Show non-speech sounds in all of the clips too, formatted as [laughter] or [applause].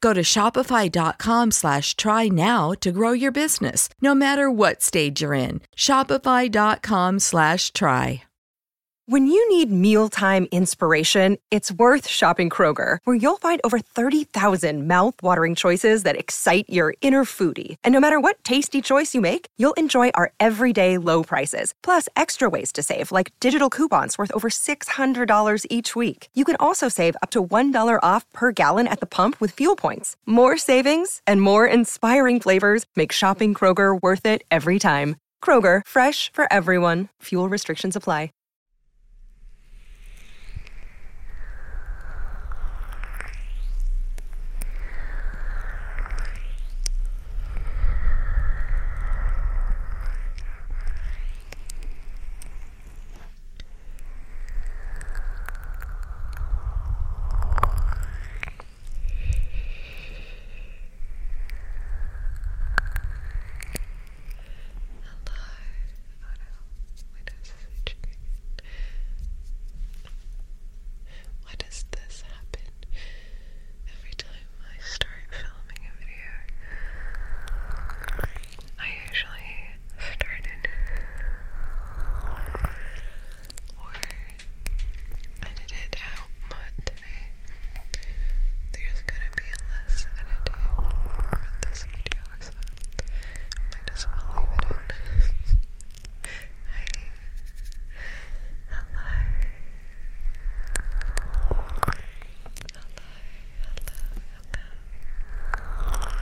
Go to shopify.com slash try now to grow your business, no matter what stage you're in. Shopify.com slash try. When you need mealtime inspiration, it's worth shopping Kroger, where you'll find over 30,000 mouthwatering choices that excite your inner foodie. And no matter what tasty choice you make, you'll enjoy our everyday low prices, plus extra ways to save, like digital coupons worth over $600 each week. You can also save up to $1 off per gallon at the pump with fuel points. More savings and more inspiring flavors make shopping Kroger worth it every time. Kroger, fresh for everyone. Fuel restrictions apply. Why does this happen every time I start filming a video? I usually started or edit out, but today there's gonna be less editing for this video, so I might as well leave it [laughs] Hello. Hello, hello and welcome to another Relaxing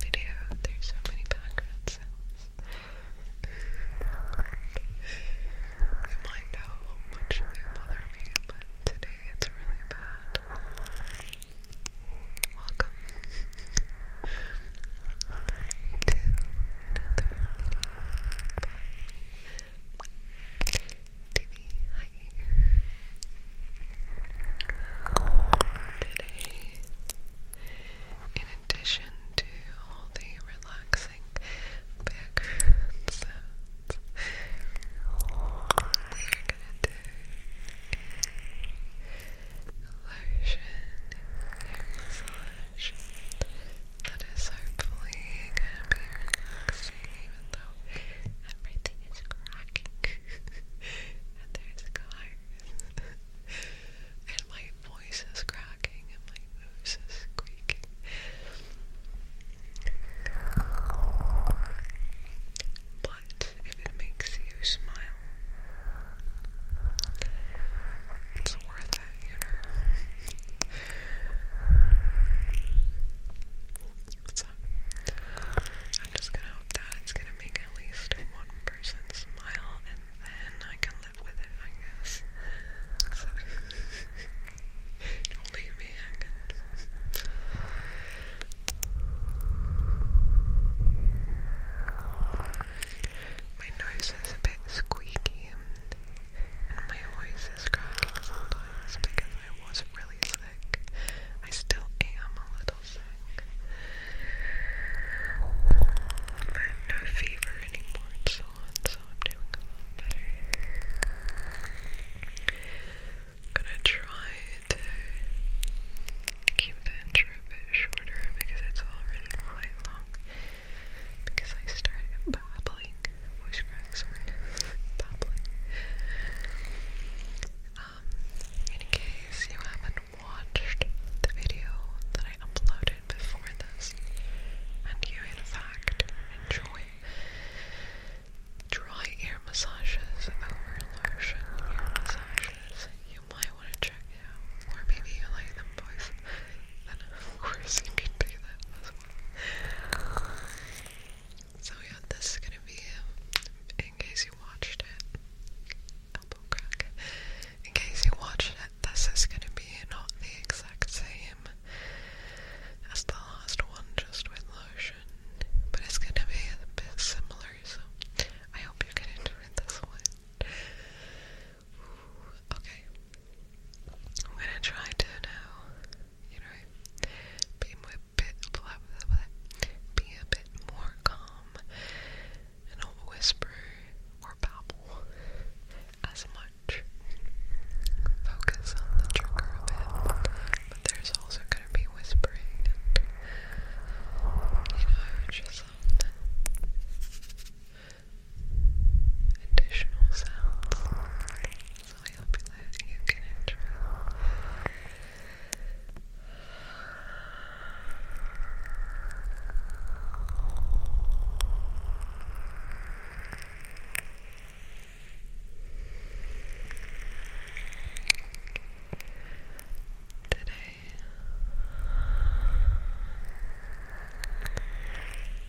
video. There's so many background sounds. I'm like, how much they bother me, but today it's really bad. Welcome to another video by TV. Today, in addition to all the relaxing background sounds, we're gonna do lotion massage that is hopefully gonna be even though everything is cracking and there's cars. and my voice is cracking and my nose is squeaking. But if it makes you smile, it's worth it, you know. So, I'm just gonna hope that it's gonna make at least one person smile and then I can live with it, I guess. don't [laughs] leave me My nose is a bit squeaky and my voice is cracking sometimes because I was really I still am a little sick. I no fever anymore so I'm doing a lot better. gonna try to keep the intro a bit shorter because it's already quite long. Because I started babbling, voice cracks babbling in case you haven't watched the video that I uploaded before this, and you in fact enjoy dry ear massages over lotion ear massages, you might want to check out, or maybe you like them both, then of course you can do that as well. So yeah, this is gonna be, in case you watched it, elbow crack, in case you watched it, this is gonna be not the exact same as the last one, just with lotion, but it's gonna be a bit similar, so I hope you can enjoy this one. okay. I'm gonna try to now, you know, be my bit, be a bit more calm and do whisper or babble as much. Focus on the trigger a bit, but there's also going to be whispering you know, just some additional sounds. So I hope that you can enjoy Today,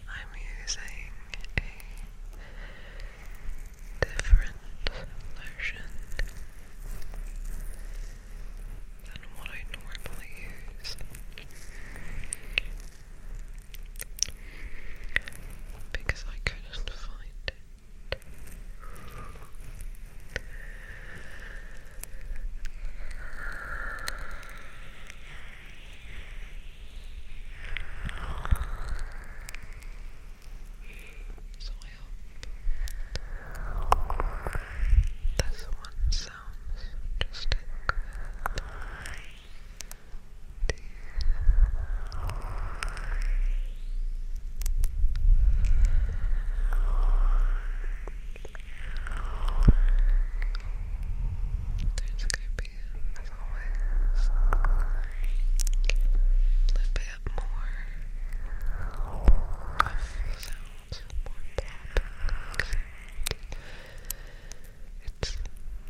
I'm using a different lotion than what I normally use because I couldn't find it. So I this one sounds just good. There's going to be, as always, flipping bit more sounds, more pop. It's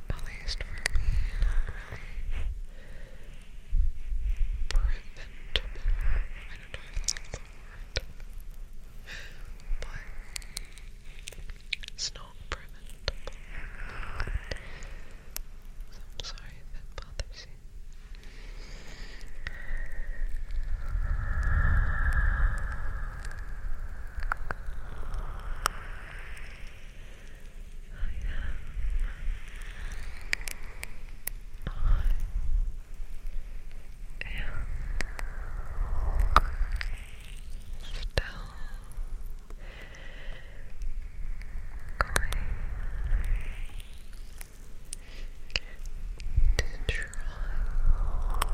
at least preventable. I don't know if that's the But it's not preventable. I'm sorry that bothers Sí. I am. I am still going to try and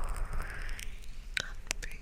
be as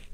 As I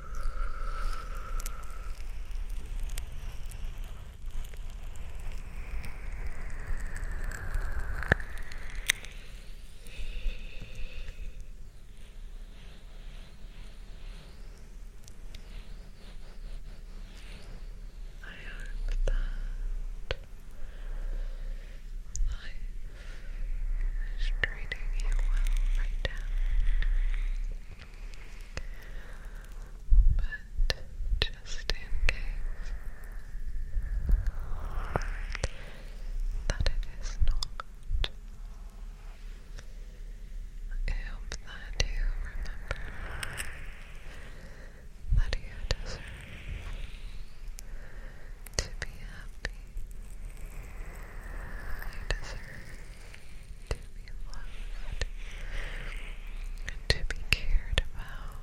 hope that life is treating you well right now. But just in case that it is not, I hope that you remember that you deserve to be happy. You deserve to be loved, to be cared about.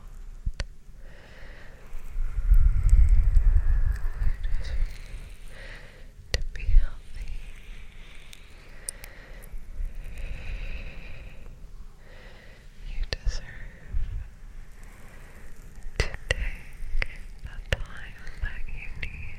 To be healthy, you deserve to take the time that you need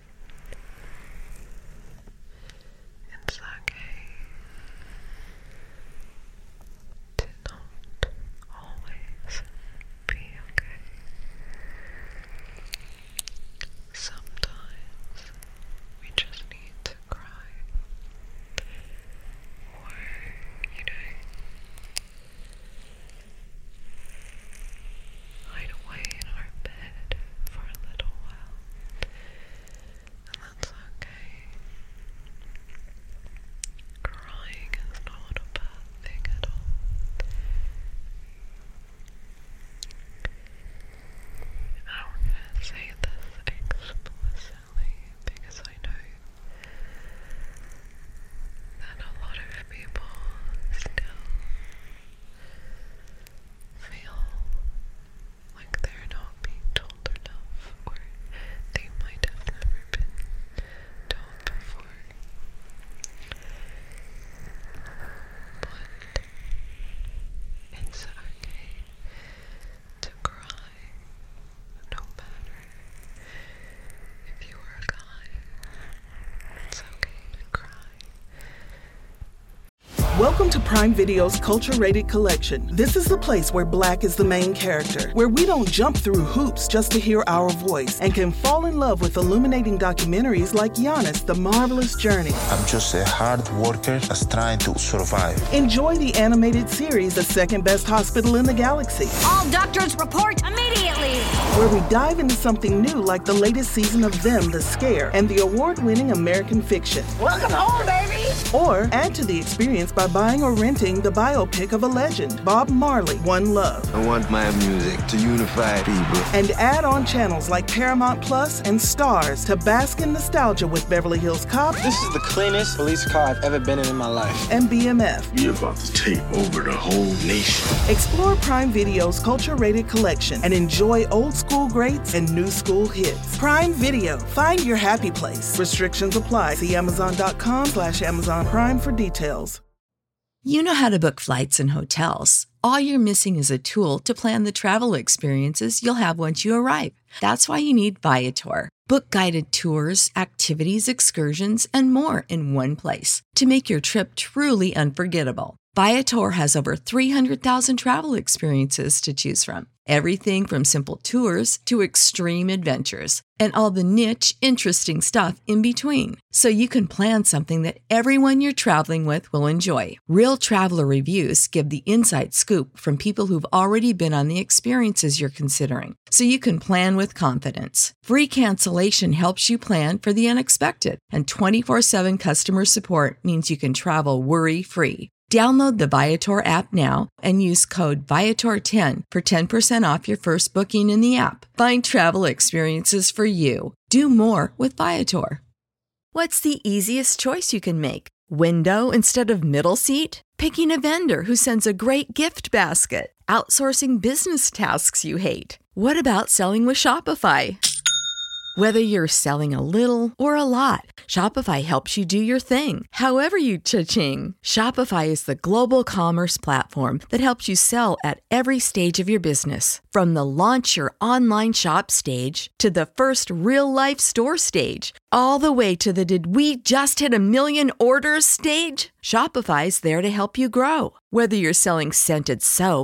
It's okay to not always be okay. Sometimes we just need to cry, or you know, hide away in our bed for a little while, and that's okay. Crying is not a bad thing at all. I am going to say this explicitly because I know that a lot of people still feel like they're not being told enough, or they might have never been told before. But it's okay to cry no matter if you are a guy. It's okay to cry Welcome to Prime Video's Culture Rated Collection. This is the place where black is the main character, where we don't jump through hoops just to hear our voice and can fall in love with illuminating documentaries like Giannis, The Marvelous Journey. I'm just a hard worker that's trying to survive. Enjoy the animated series, The Second Best Hospital in the Galaxy. All doctors report immediately. Where we dive into something new like the latest season of Them the Scare and the award winning American Fiction. Welcome home, baby! Or add to the experience by buying or renting the biopic of a legend, Bob Marley, One Love. I want my music to unify people. And add on channels like Paramount Plus and Stars to bask in nostalgia with Beverly Hills Cop. This is the cleanest police car I've ever been in in my life. And BMF. You're about to take over the whole nation. Explore Prime Video's culture rated collection and enjoy old school greats and new school hits. Prime Video. Find your happy place. Restrictions apply. See Amazon.com slash Amazon Prime for details. You know how to book flights and hotels. All you're missing is a tool to plan the travel experiences you'll have once you arrive. That's why you need Viator. Book guided tours, activities, excursions, and more in one place to make your trip truly unforgettable. Viator has over 300,000 travel experiences to choose from. Everything from simple tours to extreme adventures and all the niche, interesting stuff in between. So you can plan something that everyone you're traveling with will enjoy. Real traveler reviews give the inside scoop from people who've already been on the experiences you're considering, so you can plan with confidence. Free cancellation helps you plan for the unexpected and 24 7 customer support means you can travel worry free. Download the Viator app now and use code Viator10 for 10% off your first booking in the app. Find travel experiences for you. Do more with Viator. What's the easiest choice you can make? Window instead of middle seat? Picking a vendor who sends a great gift basket? Outsourcing business tasks you hate? What about selling with Shopify? Whether you're selling a little or a lot, Shopify helps you do your thing, however you cha-ching. Shopify is the global commerce platform that helps you sell at every stage of your business. From the launch your online shop stage to the first real life store stage, all the way to the did we just hit a million orders stage. Shopify's there to help you grow. Whether you're selling scented soap,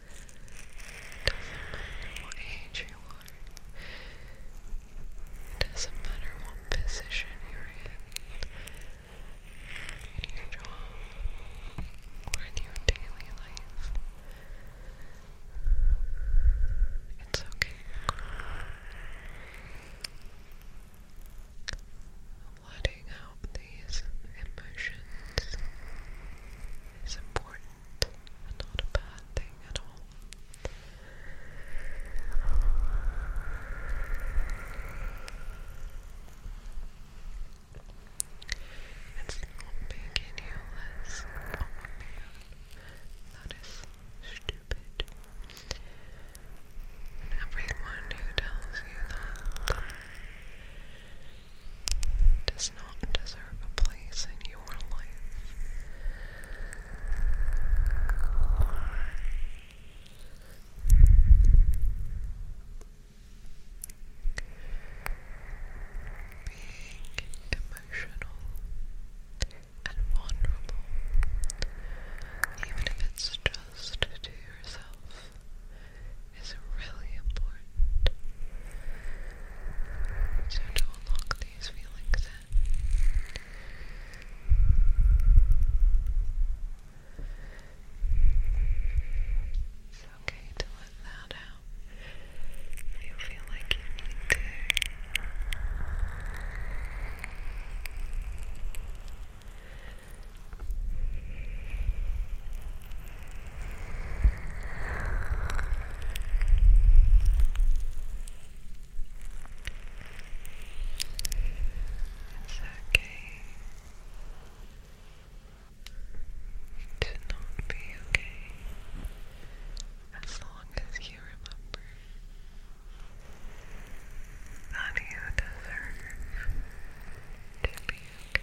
Doesn't matter what age you are. It doesn't matter what position you're in, your job, or your daily life. It's okay. Letting out these emotions is important not a bad thing at all. It's not making you less. Oh that is stupid. Everyone who tells you that does not deserve a place in your life. emotional and vulnerable, even if it's just to yourself, it's really important. to unlock these feelings It's okay to let that out. If you feel like you need to. It's okay to not be okay as long as you remember that you deserve to be okay.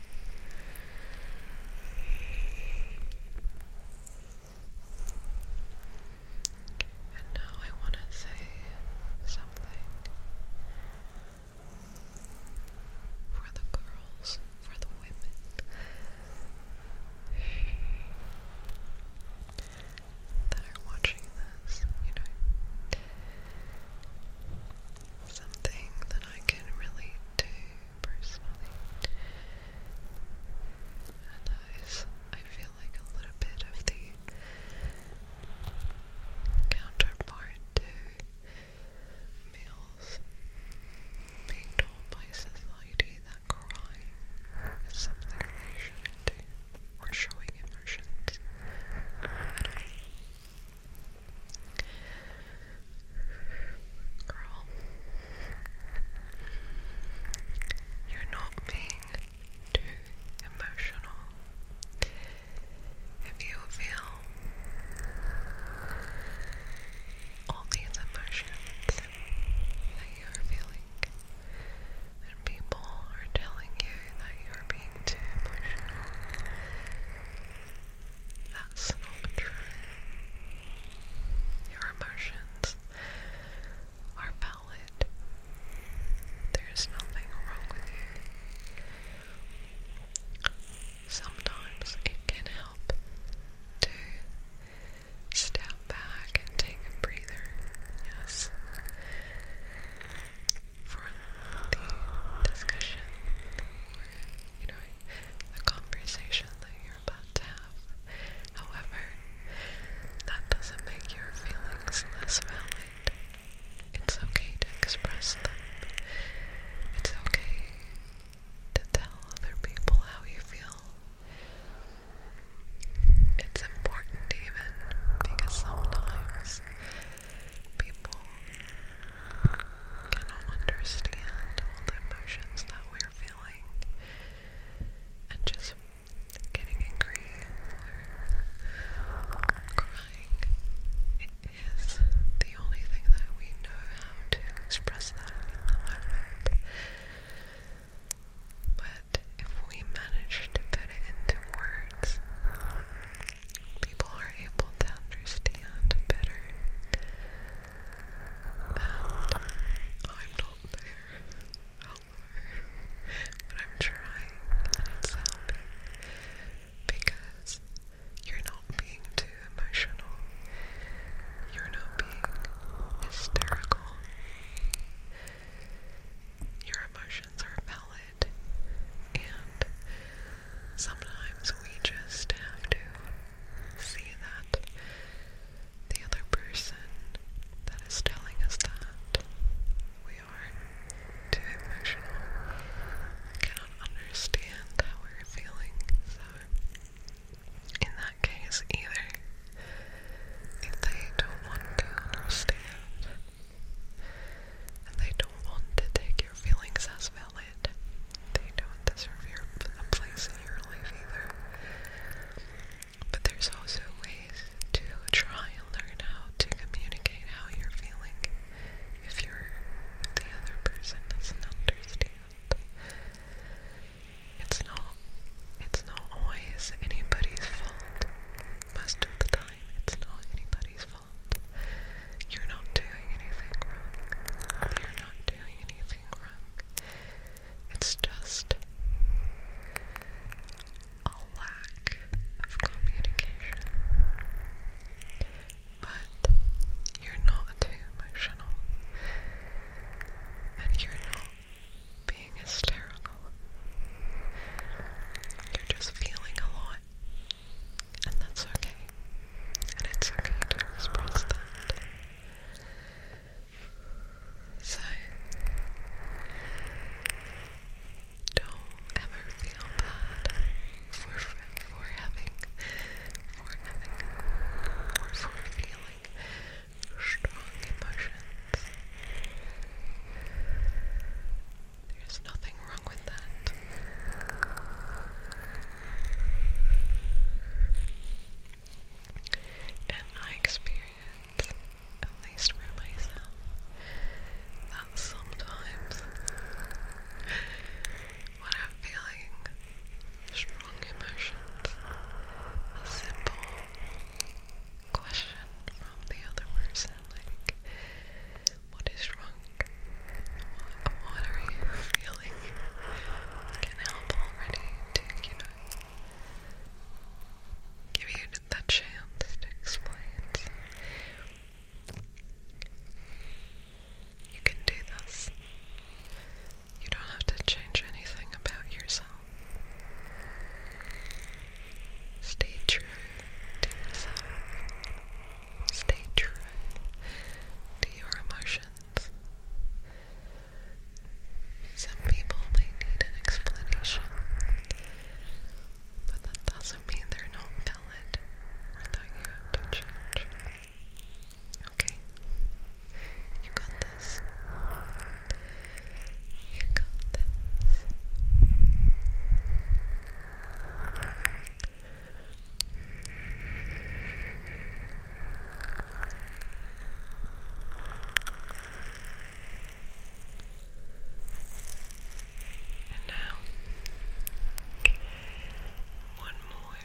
And now I want to say something for the girls, for the women that are watching this, you know. Something that I can relate to personally. And I feel like, a little bit of the counterpart to males being told by society that crying is something they shouldn't or showing emotions Girl, you're not being too emotional. If you feel all these emotions that you're feeling, and people are telling you that you're being too emotional, that's not true. Your emotions are valid. There is nothing wrong with you. Sometimes it can help to step back and take a breather. Yes. For the discussion or, you know, the conversation that you're you're about to um, have. However, that doesn't make your feelings less valid. It's okay to express them. It's okay to tell other people how you feel. It's important even because sometimes people cannot understand all the emotions that we you're feeling and just getting angry or crying. It is the only thing that we know how to express that in But if we manage to put it into words, people are able to understand better I'm not there. But I'm trying and it's because you're not being too emotional. You're not being hysterical. Your emotions are valid, and sometimes we just have to see that the other person that is telling us that we are too emotional cannot understand how we're feeling. So, in that case, either if they don't want to understand and they don't want to take your feelings as they don't deserve your, a place in your life either. But there's also ways to try and learn how to communicate how you're feeling if you're the other person doesn't understand. It's not it's not always anybody's fault. Most of the time it's not anybody's fault. You're not doing anything wrong. You're not doing anything wrong. It's just a lack of communication. But you're not too emotional. And you're not being hysterical. You're just feeling a lot. And that's okay. And it's okay to express that. So don't ever feel bad for for having for having for feeling strong emotions. There's nothing wrong with that in my experience, at least for myself, that sometimes when I'm feeling strong emotions, a simple question from the other person, like, what is wrong? What, what are you feeling? can help already to, you know, give you the chance to explain. you can do this. You don't have to change anything about yourself. Stay true to yourself. Stay true to your emotions. Some people may need an explanation, but that doesn't mean they're not valid or that you have to Okay? You got this. You got this. And now, one more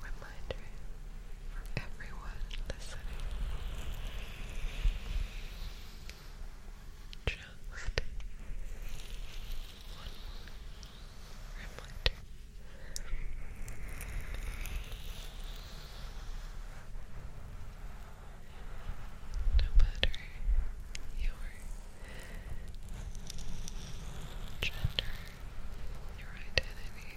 reminder for everyone listening. Just one more reminder. No matter your gender, your identity,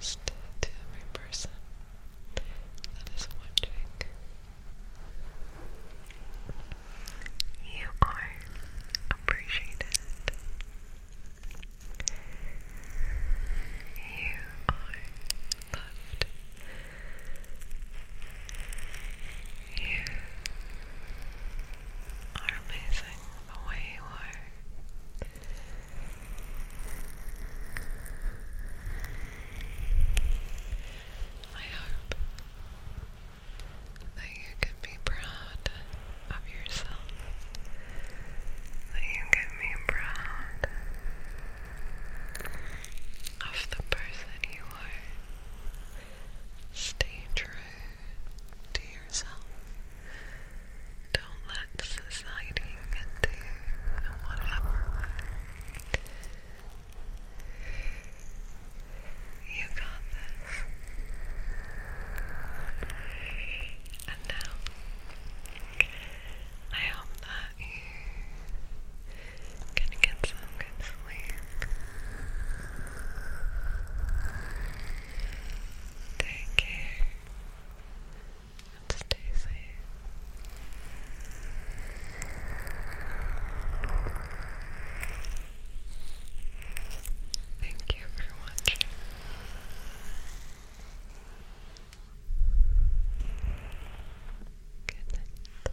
just to every person that is watching. You are appreciated. You are loved. You are amazing the way you are. I hope that you can be proud of yourself, that you can be proud of the person you are. Stay true to yourself. Don't let society get to and whatever. You got this. And now, I hope that you can get some good sleep. Take care and stay safe. Thank you for watching. Good night. Good night.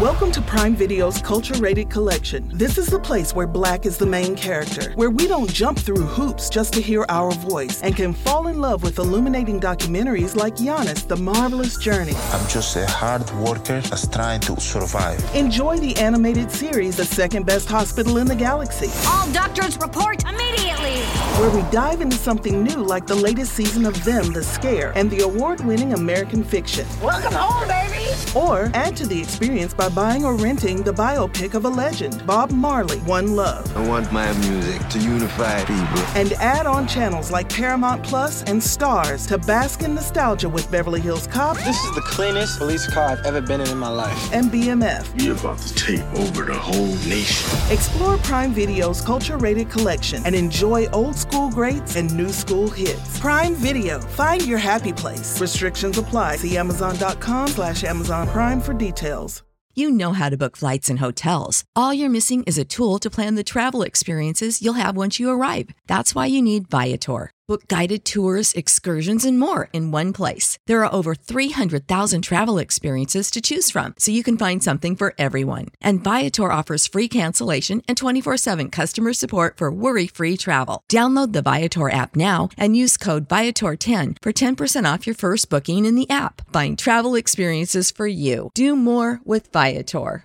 Welcome to Prime Video's Culture Rated Collection. This is the place where black is the main character, where we don't jump through hoops just to hear our voice and can fall in love with illuminating documentaries like Giannis, The Marvelous Journey. I'm just a hard worker workers trying to survive. Enjoy the animated series, The Second Best Hospital in the Galaxy. All doctors report immediately! Where we dive into something new like the latest season of Them, The Scare, and the award winning American fiction. Welcome home, baby! Or add to the experience by buying or renting the biopic of a legend, Bob Marley, One Love. I want my music to unify people. And add on channels like Paramount Plus and stars to bask in nostalgia with Beverly Hills Cop. This is the cleanest police car I've ever been in in my life. And BMF. You're about to take over the whole nation. Explore Prime Video's culture rated collection and enjoy old school greats and new school hits. Prime Video. Find your happy place. Restrictions apply. See Amazon.com slash Amazon Prime for details. You know how to book flights and hotels. All you're missing is a tool to plan the travel experiences you'll have once you arrive. That's why you need Viator. Book guided tours, excursions, and more in one place. There are over 300,000 travel experiences to choose from, so you can find something for everyone. And Viator offers free cancellation and 24 7 customer support for worry free travel. Download the Viator app now and use code Viator10 for 10% off your first booking in the app. Find travel experiences for you. Do more with Viator.